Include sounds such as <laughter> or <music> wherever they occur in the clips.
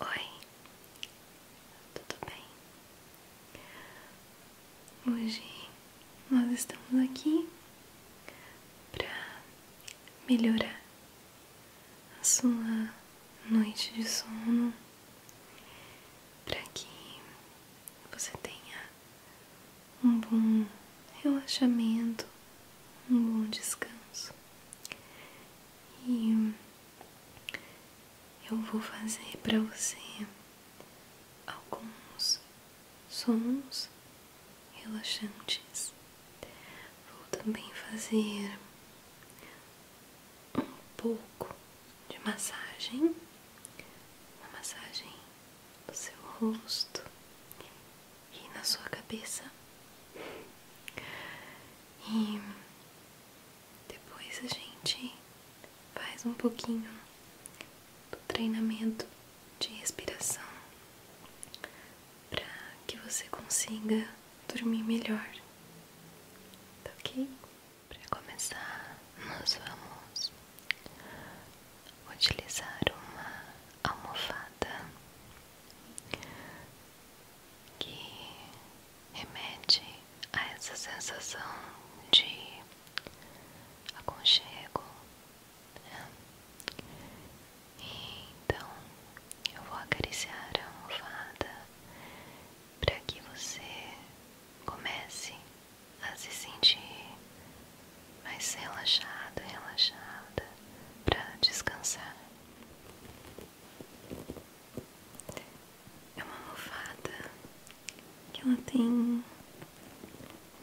Oi, tudo bem? Hoje nós estamos aqui para melhorar a sua noite de sono, para que você tenha um bom relaxamento, um bom descanso e eu vou fazer para você alguns sons relaxantes. Vou também fazer um pouco de massagem, uma massagem no seu rosto e na sua cabeça. E depois a gente faz um pouquinho do treinamento de respiração para que você consiga dormir melhor. Tá ok? Para começar, nós vamos utilizar uma almofada que remete a essa sensação de aconchego. E então eu vou acariciar a almofada para que você comece a se sentir mais relaxado, relaxada para descansar. É uma almofada que ela tem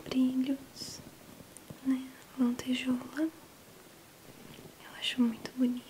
brilhos, né? Lantejoula. Eu acho muito bonita.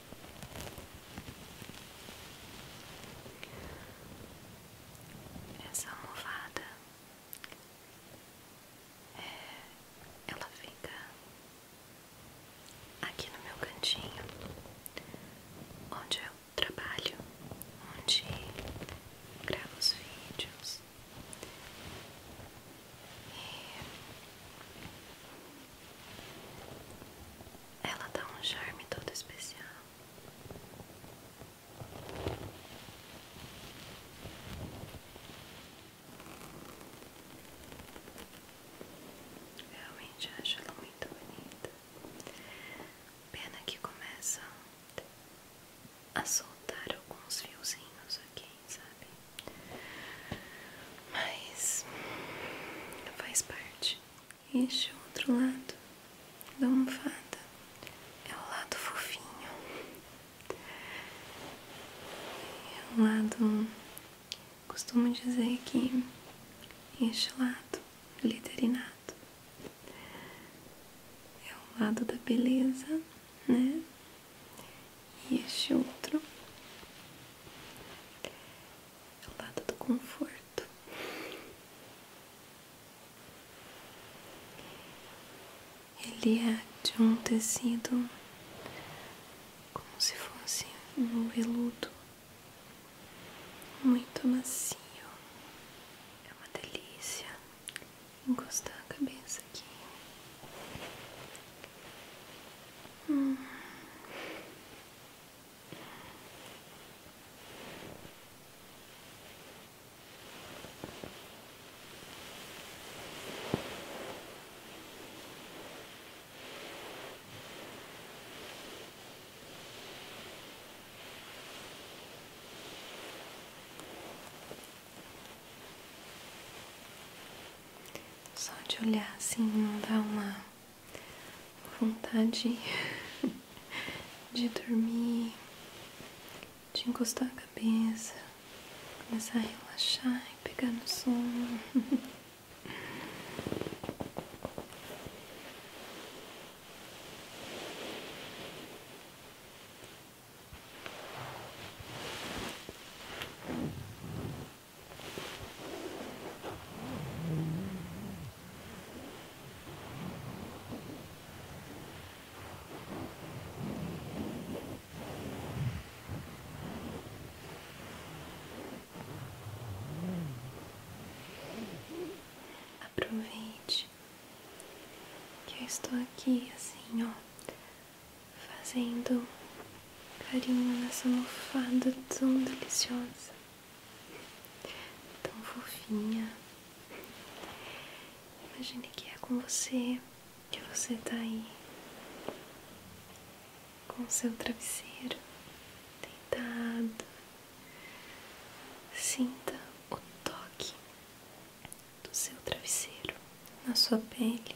Essa almofada é, ela fica aqui no meu cantinho, onde eu trabalho, onde gravo os vídeos. Ela dá um charme todo especial. Realmente acho ela muito bonita. Pena que começa a soltar alguns fiozinhos aqui, sabe? Mas faz parte. Este outro lado da almofada é o lado fofinho, é o lado. Costumo dizer que este lado glitterinado é o lado da beleza, né? E este outro o lado tá do conforto. Ele é de um tecido como se fosse um veludo muito macio. É uma delícia encostar a cabeça aqui. Hum. Só de olhar assim não dá uma vontade <laughs> de dormir, de encostar a cabeça, começar a relaxar e pegar no sono. <laughs> Aproveite que eu estou aqui assim, ó, fazendo carinho nessa almofada tão deliciosa, tão fofinha. Imagine que é com você que você tá aí, com o seu travesseiro, deitado. Sinta o toque do seu travesseiro na sua pele.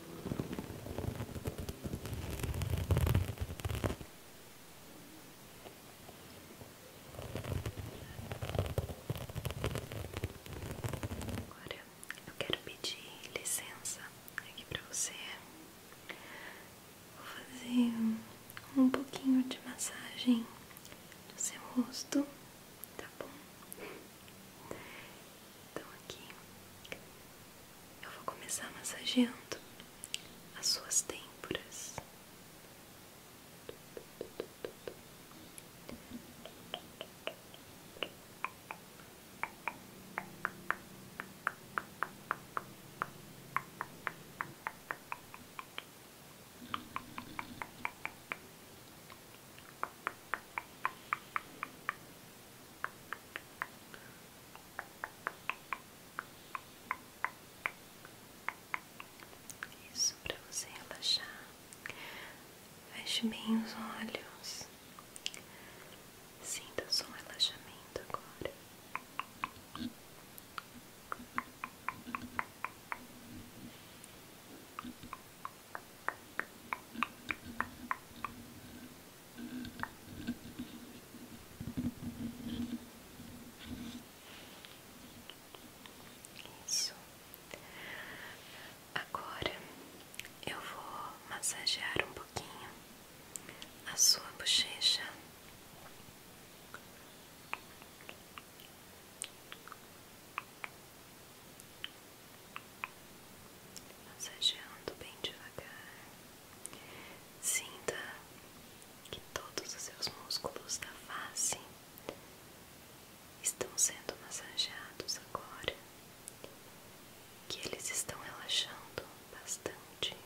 Agora eu quero pedir licença aqui para você. Vou fazer um pouquinho de massagem do seu rosto, tá bom? Então aqui eu vou começar massageando as suas têmporas. Isso para você relaxar. Feche bem os olhos. Sinta só um relaxamento agora. Isso. Agora eu vou massagear um pouquinho a sua bochecha massageando bem devagar. Sinta que todos os seus músculos da face estão sendo massageados agora, que eles estão relaxando bastante.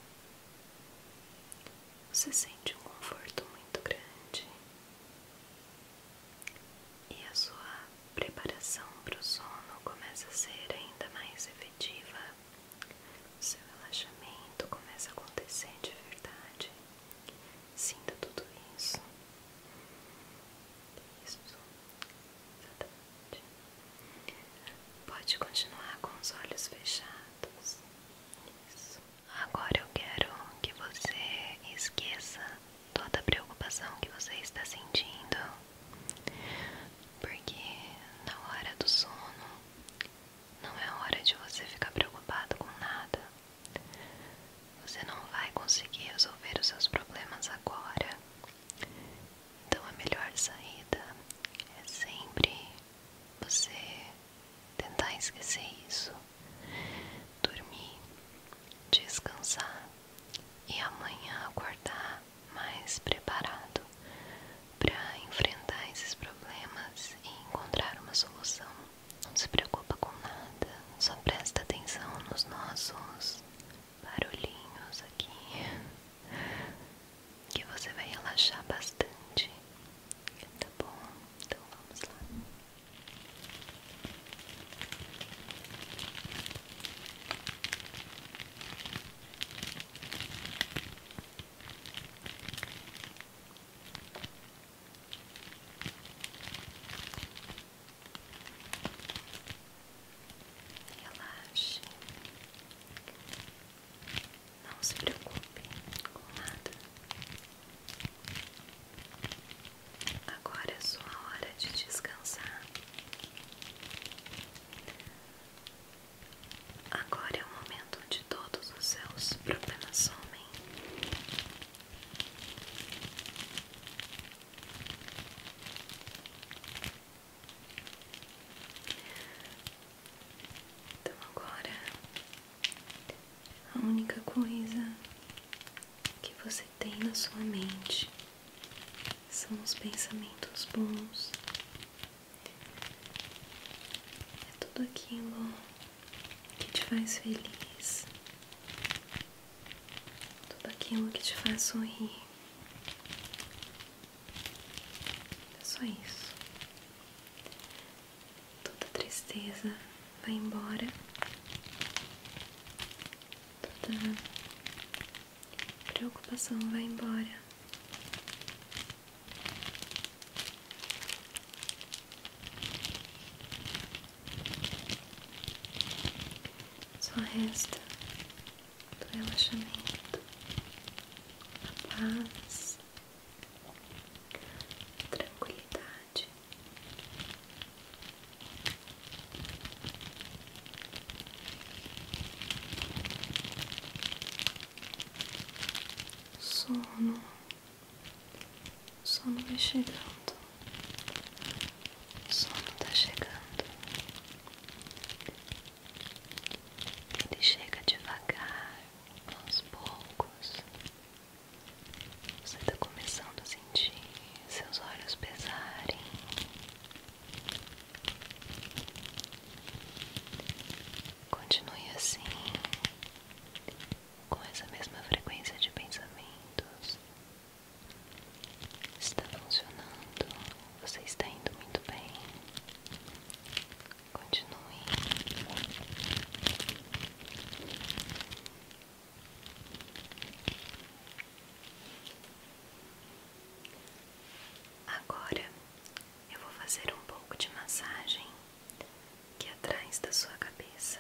Você sente um conforto muito grande e a sua preparação para o sono começa a ser ainda mais efetiva, o seu relaxamento começa a acontecer de verdade. Sinta tudo isso. Isso. Exatamente. Pode continuar com os olhos fechados. Isso. Agora eu quero que você esqueça toda a preocupação que você está sentindo porque na hora do sono não é hora de você ficar preocupado com nada. Você não vai conseguir resolver os seus problemas agora. Então a melhor saída é sempre você tentar esquecer isso, dormir, descansar e amanhã acordar mais preparado para enfrentar esses problemas e encontrar uma solução. Não se preocupa com nada, só presta atenção nos nossos barulhinhos aqui, <laughs> que você vai relaxar bastante. Tá bom? Então vamos lá. Relaxe, não se preocupe com nada. Agora é sua hora de descansar. Agora é o momento de todos os seus problemas somem. Então agora a única coisa que você tem na sua mente são os pensamentos bons. É tudo aquilo que te faz feliz, tudo aquilo que te faz sorrir. É só isso. Toda tristeza vai embora, toda Preocupação vai embora. Só resta do relaxamento, a paz, a tranquilidade. Sono, sono vai chegando, sono tá chegando, ele chega devagar, aos poucos. Você está começando a sentir seus olhos pesarem, Continue assim, com essa mesma frequência de pensamentos. Está funcionando, você está indo muito bem. Continue. Agora eu vou fazer um pouco de massagem aqui atrás da sua cabeça.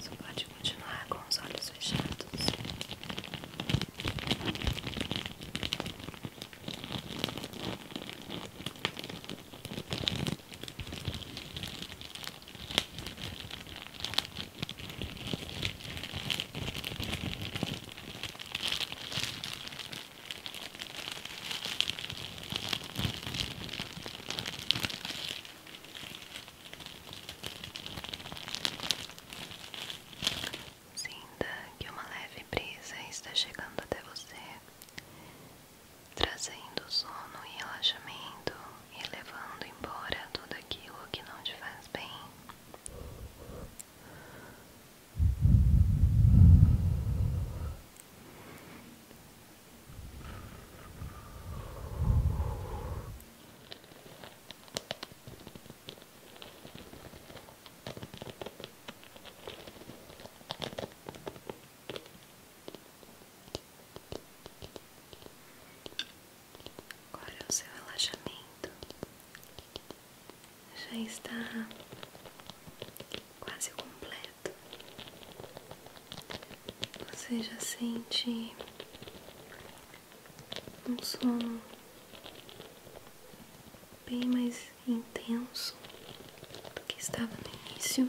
Você pode continuar com os olhos fechados. Sinta que uma leve brisa está chegando até você trazendo sono e relaxamento e levando embora tudo aquilo que não te faz bem. Agora é o seu relaxamento já está quase completo. Você já sente um sono bem mais intenso do que estava no início.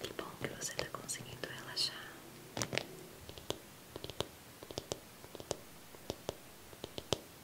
Que bom que você está conseguindo relaxar.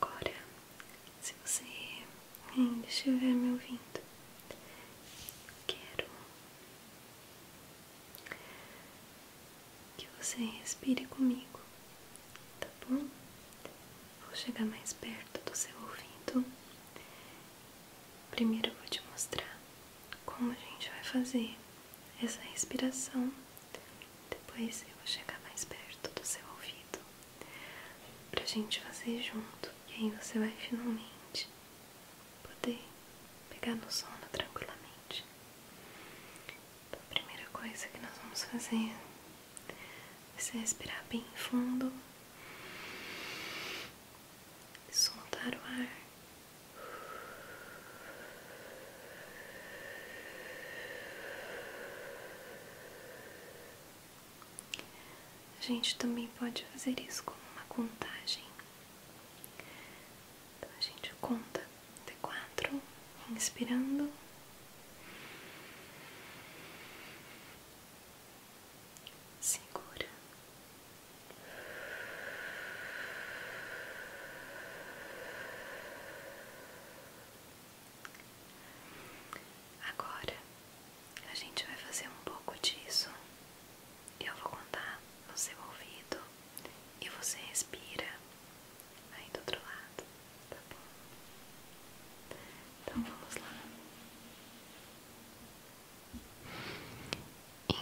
Agora, se você ainda estiver me ouvindo, quero que você respire comigo, tá bom? Vou chegar mais perto do seu ouvido. Primeiro eu vou te mostrar como a gente vai fazer essa respiração depois eu vou chegar mais perto do seu ouvido para a gente fazer junto e aí você vai finalmente poder pegar no sono tranquilamente. Então, a primeira coisa que nós vamos fazer é você respirar bem fundo, soltar o ar. A gente também pode fazer isso como uma contagem. Então a gente conta até quatro, inspirando. Segura. Agora a gente vai fazer um pouco disso. Eu vou contar no seu ouvido e você respira aí do outro lado, tá bom? Então vamos lá.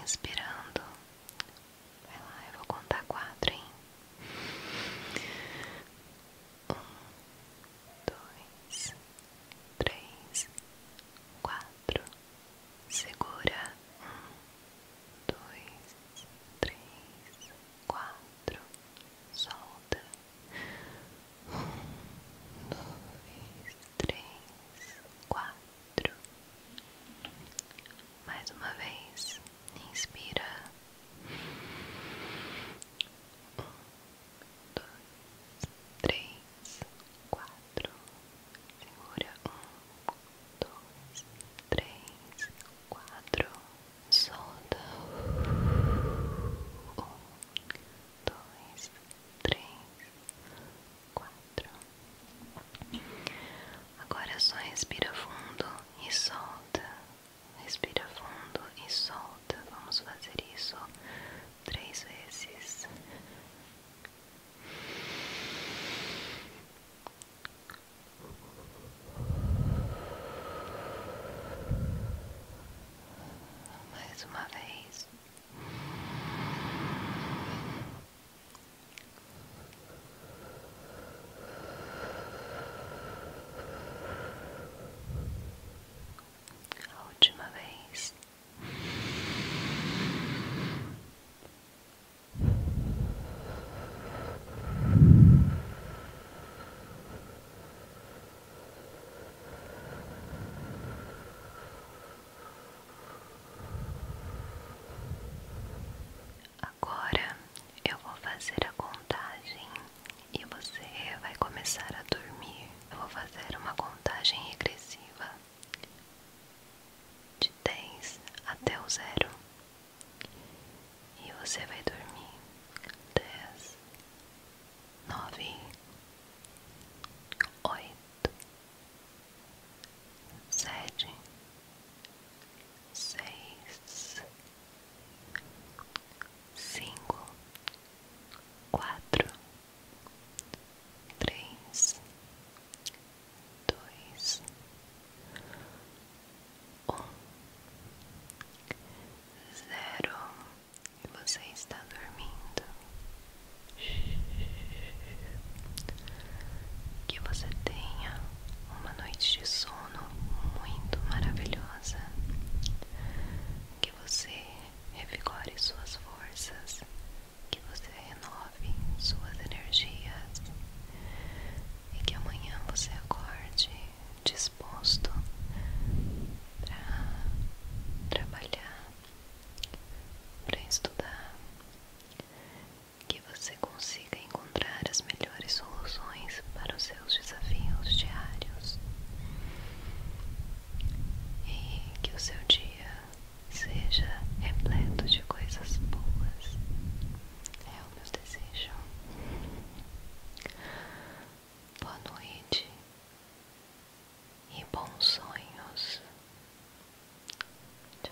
Inspirando. Vai lá, eu vou contar quatro, hein? um, dois, três, quatro, segura um, dois, três, quatro, solta um, dois, três, quatro. Mais uma vez inspira um, dois, três, quatro, segura um, dois, três, quatro, solta um, dois, três, quatro. Agora só respira fundo e solta. Respira fundo e solta. Vamos fazer isso três vezes. Mais uma vez. A última vez. Agora eu vou fazer a contagem e você vai começar a dormir. Eu vou fazer uma contagem regressiva de 10 até o zero e você vai dormir. 10, 9, 8, 7, seis, cinco, quatro, três, dois, um, zero. E você está dormindo. Que você tenha uma noite de sono sono muito maravilhosa. Que você revigore suas forças, que você renove suas energias e que amanhã você acorde disposto para trabalhar, para estudar que você consiga encontrar as melhores soluções para os seus desafios diários e que o seu dia seja repleto de coisas boas. É o meu desejo. Boa noite e bons sonhos. Tchau.